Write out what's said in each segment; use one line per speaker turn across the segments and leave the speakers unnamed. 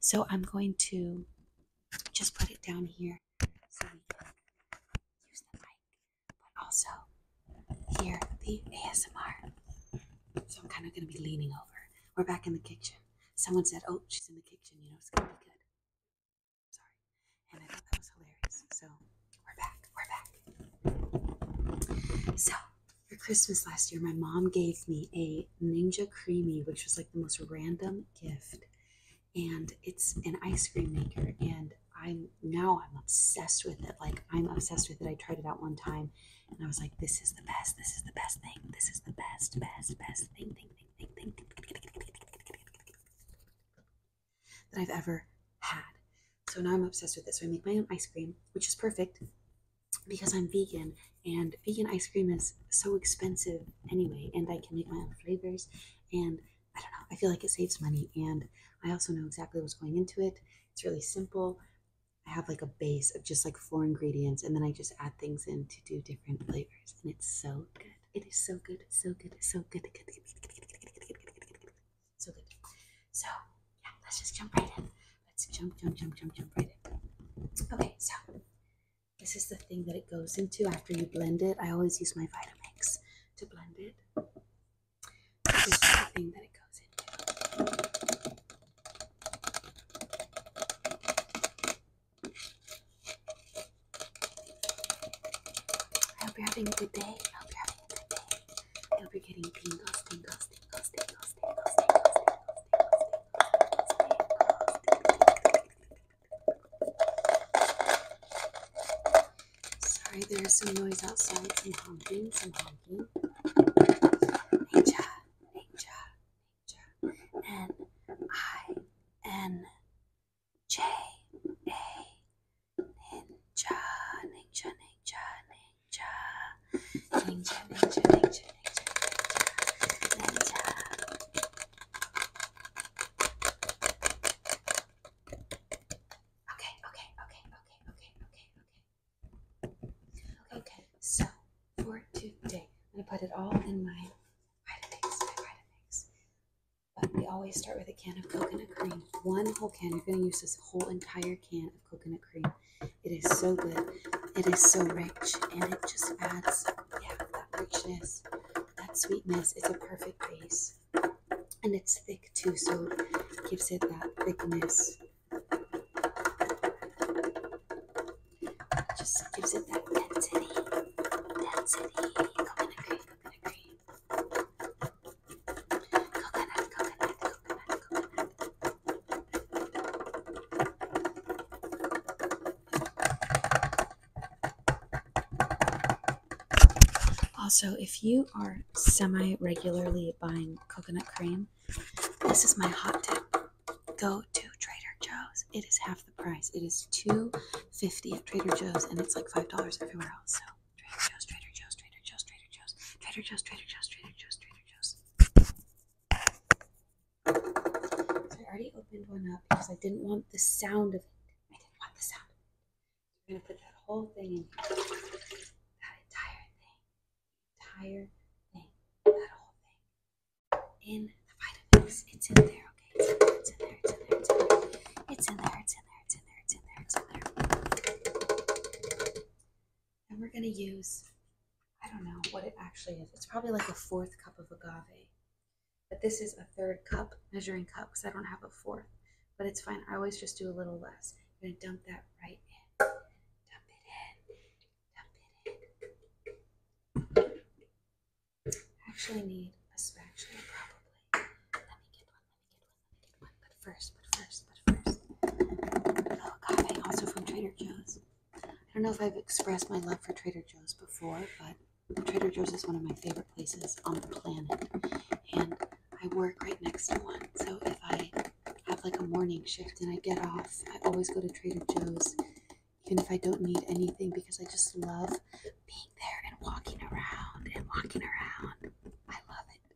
So I'm going to just put it down here so we can use the mic, but also hear the ASMR. So I'm kind of going to be leaning over. We're back in the kitchen. Someone said, "Oh, she's in the kitchen. You know, it's going to be good." sorry, and I thought that was hilarious. So we're back. We're back. So for Christmas last year, my mom gave me a Ninja Creamy, which was like the most random gift. And it's an ice cream maker. And I'm now I'm obsessed with it. Like I'm obsessed with it. I tried it out one time and I was like, this is the best, this is the best thing, this is the best, best, best thing, thing, thing, thing, thing that I've ever had. So now I'm obsessed with it. So I make my own ice cream, which is perfect because I'm vegan and vegan ice cream is so expensive anyway, and I can make my own flavors. And I don't know, I feel like it saves money, and I also know exactly what's going into it. It's really simple. I have like a base of just like four ingredients, and then I just add things in to do different flavors, and it's so good. It is so good, so good, so good, good, good, so good. So yeah, let's just jump right in. Let's jump, jump, jump, jump, jump right in. Okay, so this is the thing that it goes into after you blend it. I always use my Vitamix to blend it. This is the thing that it goes into. I hope you're having a good day. I hope you're getting tingles, tingles, tingles, tingles, tingles, tingles, tingles, tingles, tingles. Sorry, there is some noise outside, some honking, some honking. Nature, nature, nature. N I N J A Ninja, Ninja, Ninja, Ninja. Okay, okay, okay, okay, okay, okay, okay. Okay, so for today, I'm gonna put it all in my Vitamix, my Vitamix. But we always start with a can of coconut cream. One whole can. You're gonna use this whole entire can of coconut cream. It is so good. It is so rich and it just adds, yeah, that richness, that sweetness. It's a perfect base. And it's thick too, so it gives it that thickness. just gives it that density. Density. Coconut cream, coconut cream. Also, if you are semi regularly buying coconut cream, this is my hot tip. Go to Trader Joe's. It is half the price. It is $2.50 at Trader Joe's and it's like $5 everywhere else. Trader Joe's, Trader Joe's, Trader Joe's, Trader Joe's, Trader Joe's, Trader Joe's, Trader Joe's, Trader Joe's. So I already opened one up because I didn't want the sound of it. I didn't want the sound. I'm gonna put that whole thing in here. That entire thing. Entire thing. That whole thing. In the vitamins. It's in there, okay? It's in there, it's in there, it's in there, it's in there, it's in there, it's in there, it's in there, it's in there, it's in there. And we're going to use, I don't know what it actually is. It's probably like a fourth cup of agave. But this is a third cup, measuring cup, because I don't have a fourth. But it's fine. I always just do a little less. I'm going to dump that right in. Dump it in. Dump it in. I actually need a spatula, probably. Let me get one. But first, but first, but first. Vanilla oh, agave, also from Trader Joe's. I don't know if I've expressed my love for Trader Joe's before, but Trader Joe's is one of my favorite places on the planet. And I work right next to one. So if I have like a morning shift and I get off, I always go to Trader Joe's, even if I don't need anything, because I just love being there and walking around and walking around. I love it.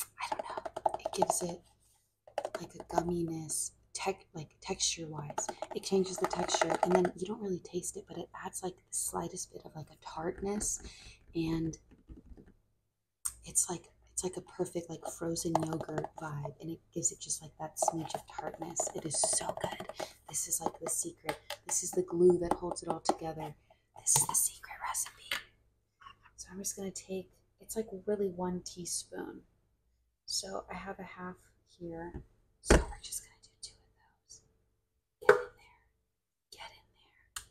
I don't know. It gives it like a gummyness, like texture wise. It changes the texture, and then you don't really taste it, but it adds like the slightest bit of like a tartness, and it's like it's like a perfect like frozen yogurt vibe, and it gives it just like that smidge of tartness. It is so good. This is like the secret. This is the glue that holds it all together. This is the secret recipe. So I'm just going to take, it's like really one teaspoon. So I have a half here. So we're just going to do two of those. Get in there. Get in there.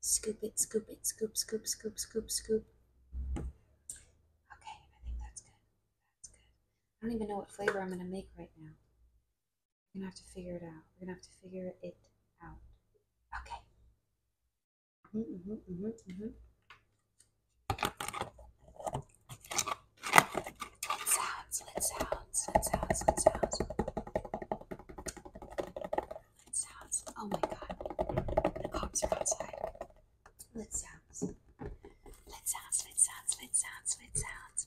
Scoop it, scoop it, scoop, scoop, scoop, scoop, scoop. Okay, I think that's good. That's good. I don't even know what flavor I'm going to make right now. We're gonna have to figure it out. We're gonna have to figure it out. Okay. Mm-hmm, sounds, sounds, sounds, sounds. sounds. Oh my god. The cops are outside. Let sounds. sounds, sounds, sounds, sounds.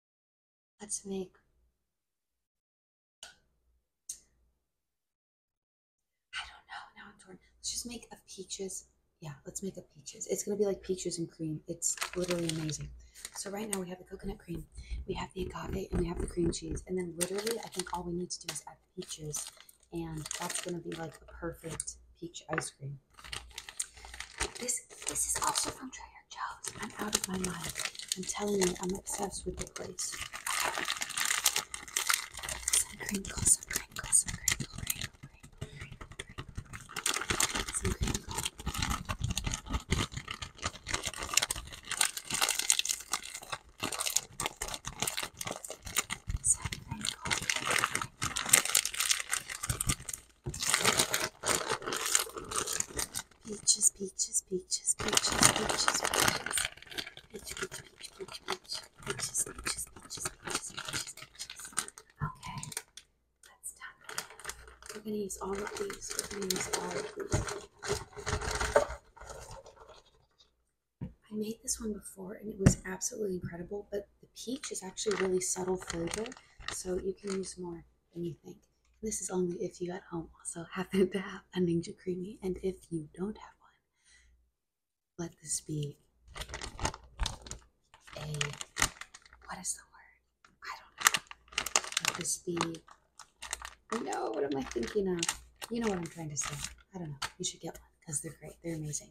Let's make I don't know. Now Let's just make a peaches. Yeah, let's make a peaches. It's gonna be like peaches and cream. It's literally amazing. So right now we have the coconut cream, we have the agave, and we have the cream cheese. And then literally, I think all we need to do is add peaches, and that's gonna be like a perfect peach ice cream. This this is also from Trader Joe's. I'm out of my mind. I'm telling you, I'm obsessed with the place. Some crinkle, some crinkle, some crinkle, crinkle, crinkle, crinkle, some crinkle. Some crinkle, Peaches, peaches, peaches, peaches, peaches, peaches. Peach, peach, peach, peach, peach. Peaches, peaches, peaches, peaches, peaches, peaches. Okay, that's done. We're gonna use all of these. We're gonna use all of these. I made this one before and it was absolutely incredible, but the peach is actually really subtle flavor, so you can use more than you think. this is only if you at home also happen to have a Ninja Creamy, and if you don't have one, let this be a what is the word? I don't know. Let this be no, what am I thinking of? You know what I'm trying to say. I don't know. You should get one because they're great. They're amazing.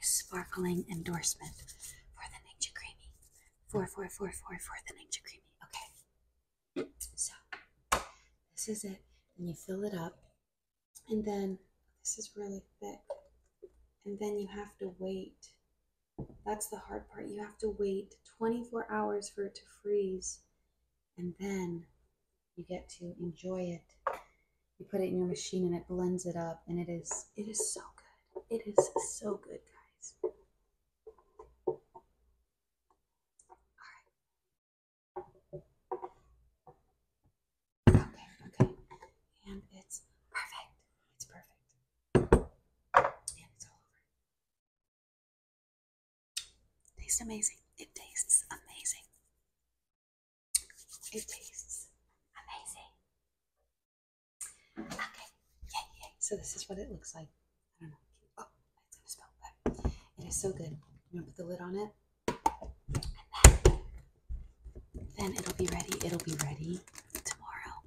a sparkling endorsement for the Ninja Creamy. 4444 for the Ninja Creamy. Okay. So this is it. And you fill it up. And then this is really thick. And then you have to wait. That's the hard part. You have to wait 24 hours for it to freeze. And then you get to enjoy it you put it in your machine and it blends it up and it is it is so good. It is so good, guys. All right. Okay, okay. And it's perfect. It's perfect. And it's all over. It tastes amazing. It tastes amazing. It tastes amazing. Okay, yeah, yeah. So this is what it looks like. I don't know. Oh, it's gonna spill, but it is so good. You am gonna put the lid on it, then, it'll be ready. It'll be ready tomorrow.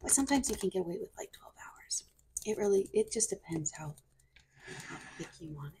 But sometimes you can get away with like 12 hours. It really, it just depends how how thick you want it.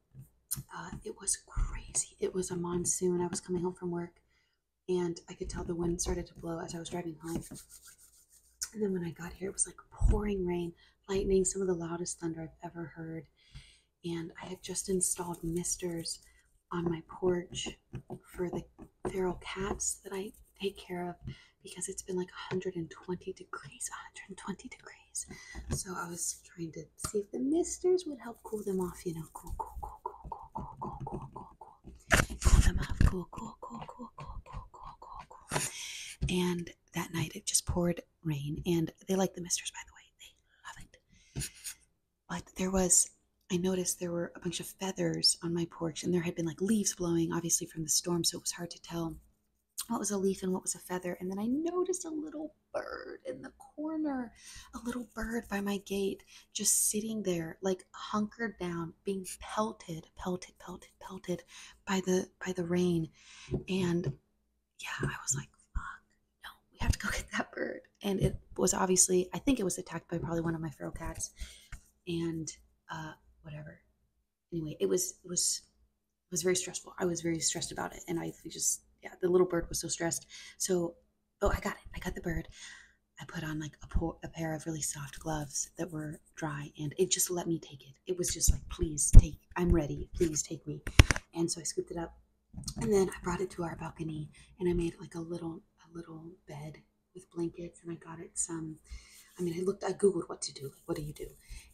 Uh, it was crazy. It was a monsoon. I was coming home from work and I could tell the wind started to blow as I was driving home. And then when I got here, it was like pouring rain, lightning, some of the loudest thunder I've ever heard. And I had just installed misters on my porch for the feral cats that I take care of because it's been like 120 degrees, 120 degrees guys. So I was trying to see if the misters would help cool them off, you know. Cool, cool, cool, cool, cool, cool, cool, cool, cool, cool. Cool them off, cool, cool, cool, cool, cool, cool, cool, cool, cool. And that night it just poured rain and they like the misters by the way. They love it. But there was I noticed there were a bunch of feathers on my porch and there had been like leaves blowing obviously from the storm, so it was hard to tell what was a leaf and what was a feather. And then I noticed a little bird in the corner, a little bird by my gate, just sitting there, like hunkered down, being pelted, pelted, pelted, pelted by the by the rain. And yeah, I was like, fuck, no, we have to go get that bird. And it was obviously, I think it was attacked by probably one of my feral cats. And uh, whatever anyway, it was was was very stressful. I was very stressed about it, and I just yeah, the little bird was so stressed. So oh, I got it. I got the bird. I put on like a pair of really soft gloves that were dry, and it just let me take it. It was just like, please take. I'm ready. Please take me. And so I scooped it up, and then I brought it to our balcony, and I made like a little a little bed with blankets, and I got it some. I mean, I looked, I Googled what to do what do you do?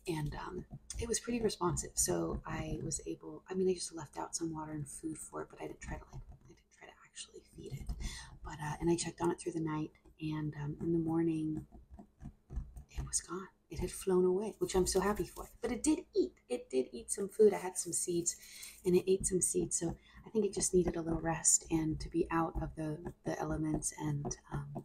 And um, it was pretty responsive. So I was able, I mean, I just left out some water and food for it, but I didn't try to like, I didn't try to actually feed it. But, uh, and I checked on it through the night and um, in the morning, it was gone. It had flown away, which I'm so happy for. But it did eat. It did eat some food. I had some seeds and it ate some seeds. So I think it just needed a little rest and to be out of the, the elements and um,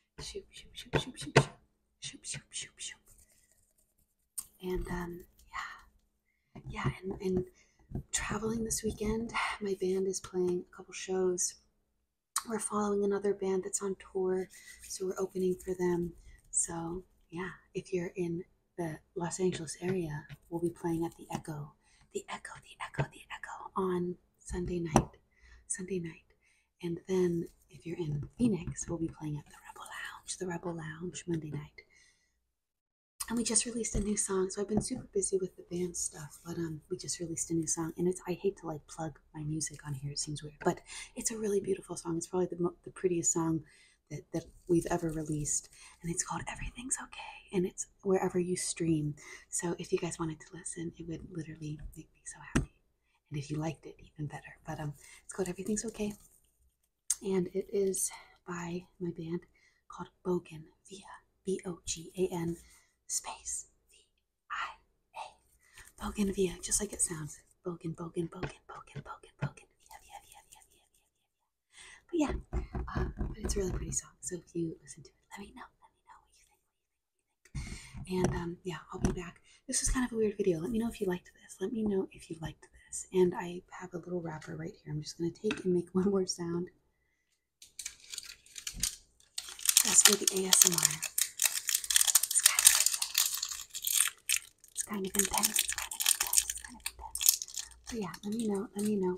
Shoop, shoop, shoop, shoop, shoop, shoop, shoop, shoop, shoop, And um, yeah, yeah, and, and traveling this weekend. My band is playing a couple shows. We're following another band that's on tour, so we're opening for them. So yeah, if you're in the Los Angeles area, we'll be playing at the Echo, the Echo, the Echo, the Echo on Sunday night. Sunday night. And then if you're in Phoenix, we'll be playing at the Rebel Lounge, the Rebel Lounge Monday night. And we just released a new song, so I've been super busy with the band stuff, but um we just released a new song and it's I hate to like plug my music on here, it seems weird, but it's a really beautiful song. It's probably the the prettiest song that, that we've ever released and it's called everything's okay and it's wherever you stream so if you guys wanted to listen it would literally made me so happy. And if you liked it, even better. But um, it's called Everything's Okay. And it is by my band called Bogan Via. B O G A N space V I A. Bogan Via, just like it sounds. Bogan, Bogan, Bogan, Bogan, Bogan, Bogan. Via, Via, Via, Via, Via, Via, Via. But yeah, um, but it's a really pretty song. So if you listen to it, let me know. Let me know what you think. What you think. And um, yeah, I'll be back. This is kind of a weird video. Let me know if you liked this. Let me know if you liked this. And I have a little wrapper right here. I'm just going to take and make one more sound. That's for the ASMR. It's kind of intense. It's kind of intense. It's kind of intense. It's kind of intense. But yeah, let me know. Let me know